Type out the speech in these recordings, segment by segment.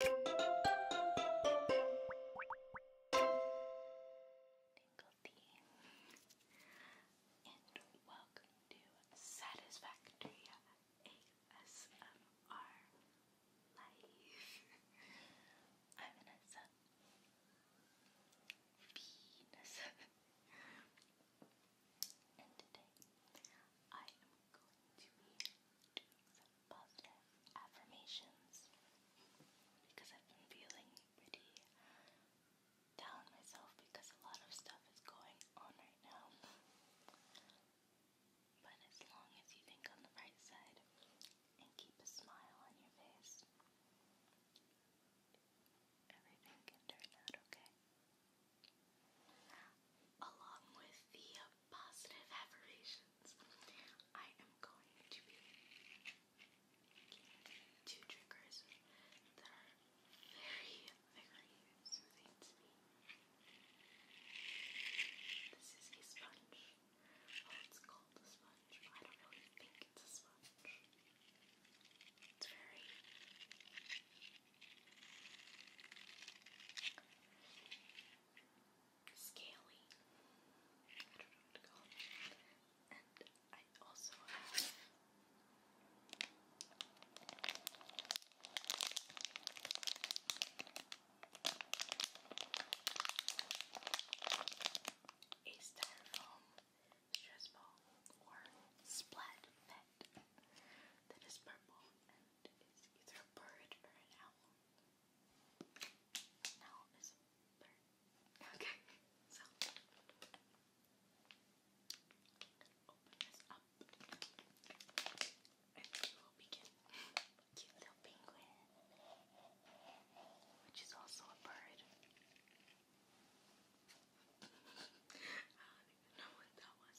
And welcome to Satisfactory ASMR Life. I'm Vanessa. Venus. and today I am going to be doing some positive affirmations because I've been feeling pretty down myself because a lot of stuff is going on right now. But as long as you think on the bright side and keep a smile on your face, everything can turn out okay. Along with the positive affirmations, I am going to be two triggers that are very, very soothing to me. This is a sponge. Well, oh, it's called a sponge, I don't really think it's a sponge. It's very scaly. I don't know what to call it. And I also have a styrofoam stress ball or splat that is purple is either a bird or an owl. An owl is a bird. Okay, so open this up and we will begin. Cute little penguin, which is also a bird. I don't even know what that was.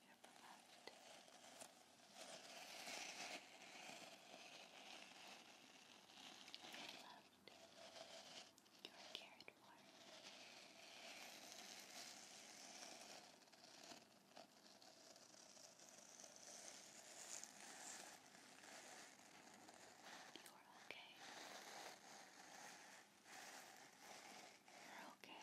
your blood. You're loved. You're cared for. You're okay. You're okay.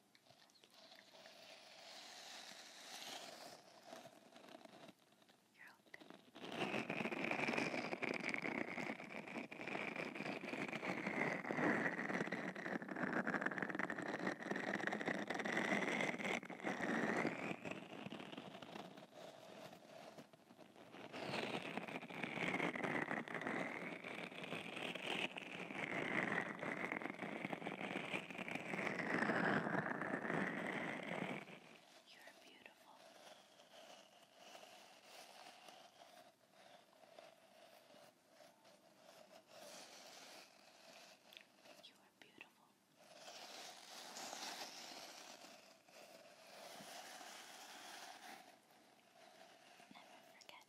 You're all good. You're beautiful. You are beautiful. Never forget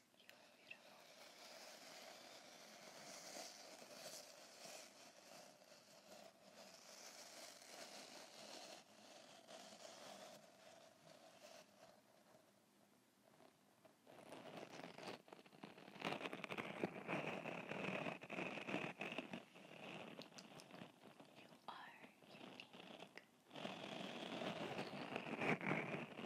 You are beautiful. You are unique. You are unique. You are yourself.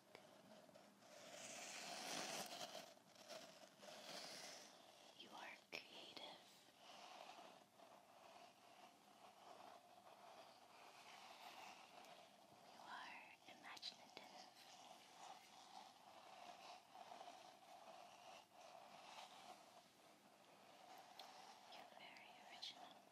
You are creative. You are imaginative. You're very original.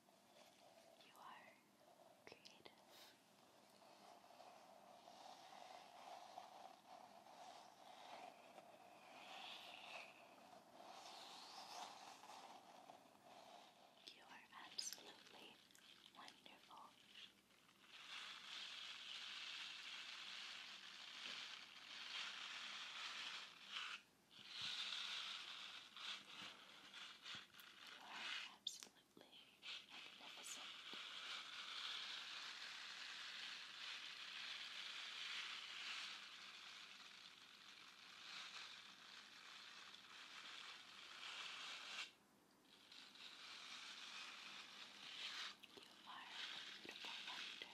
You are creative. You are absolutely wonderful. You you are absolutely magnificent. You are a beautiful wonder. You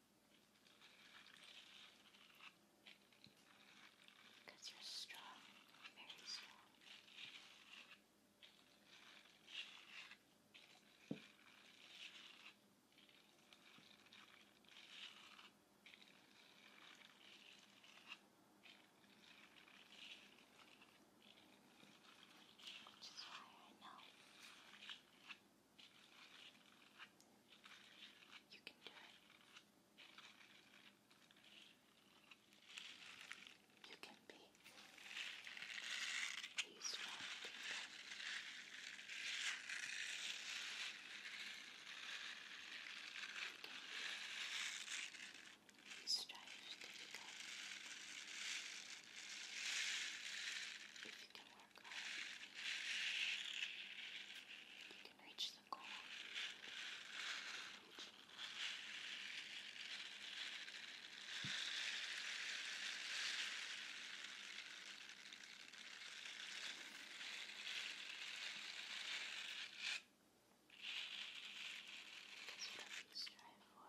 Because you're strong, very strong. Which is why I know you can do it. You can be these right people. You can be who strives to become. If you can circle. You can reach the goal. Reach. Because whatever you strive for,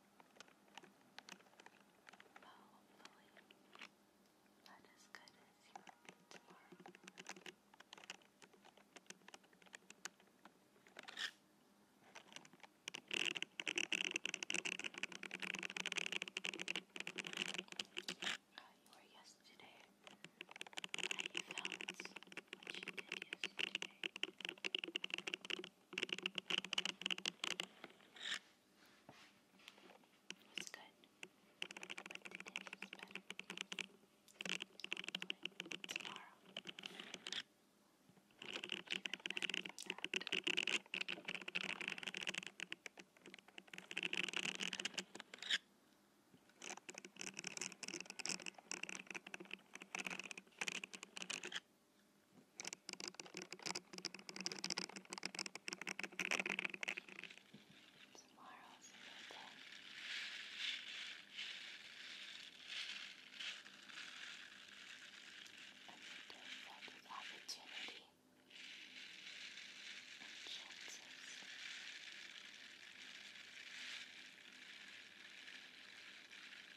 But hopefully, not as good as you will be tomorrow. How you were yesterday, how you felt, what you did yesterday. It's good, but today is better. Hopefully tomorrow will be even better than that. Thank you Tomorrow's a new day. A new day filled with opportunity and chances. A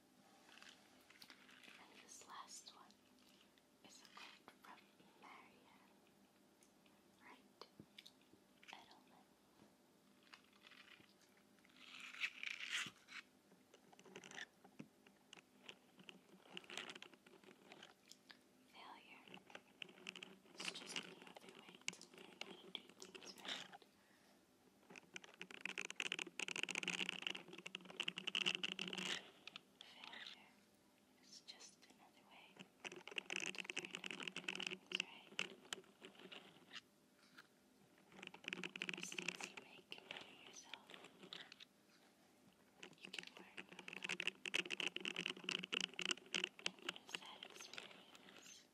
And this last one is a quote from Marianne Wright Edelman. Failure is just another way to learn how to do things right. Failure is just another way to learn things, right? The mistakes you make can better yourself. You can learn from them and use that experience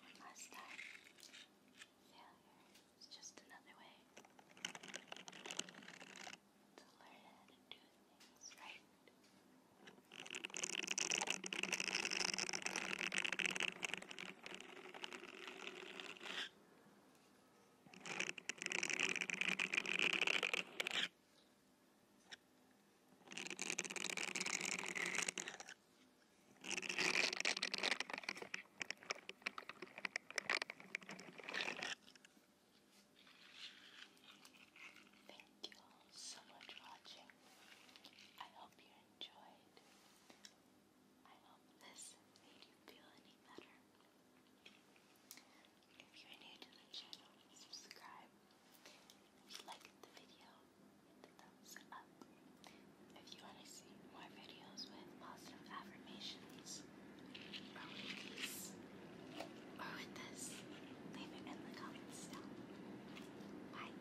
One last time. Failure is just another way to learn how to do things right. Thank you all so much for watching. I hope you enjoyed. I hope this made you feel any better. If you're new to the channel, subscribe. If the video, hit the thumbs up. If you want to see more videos with positive affirmations, or with these, or with this, leave it in the comments down. Bye.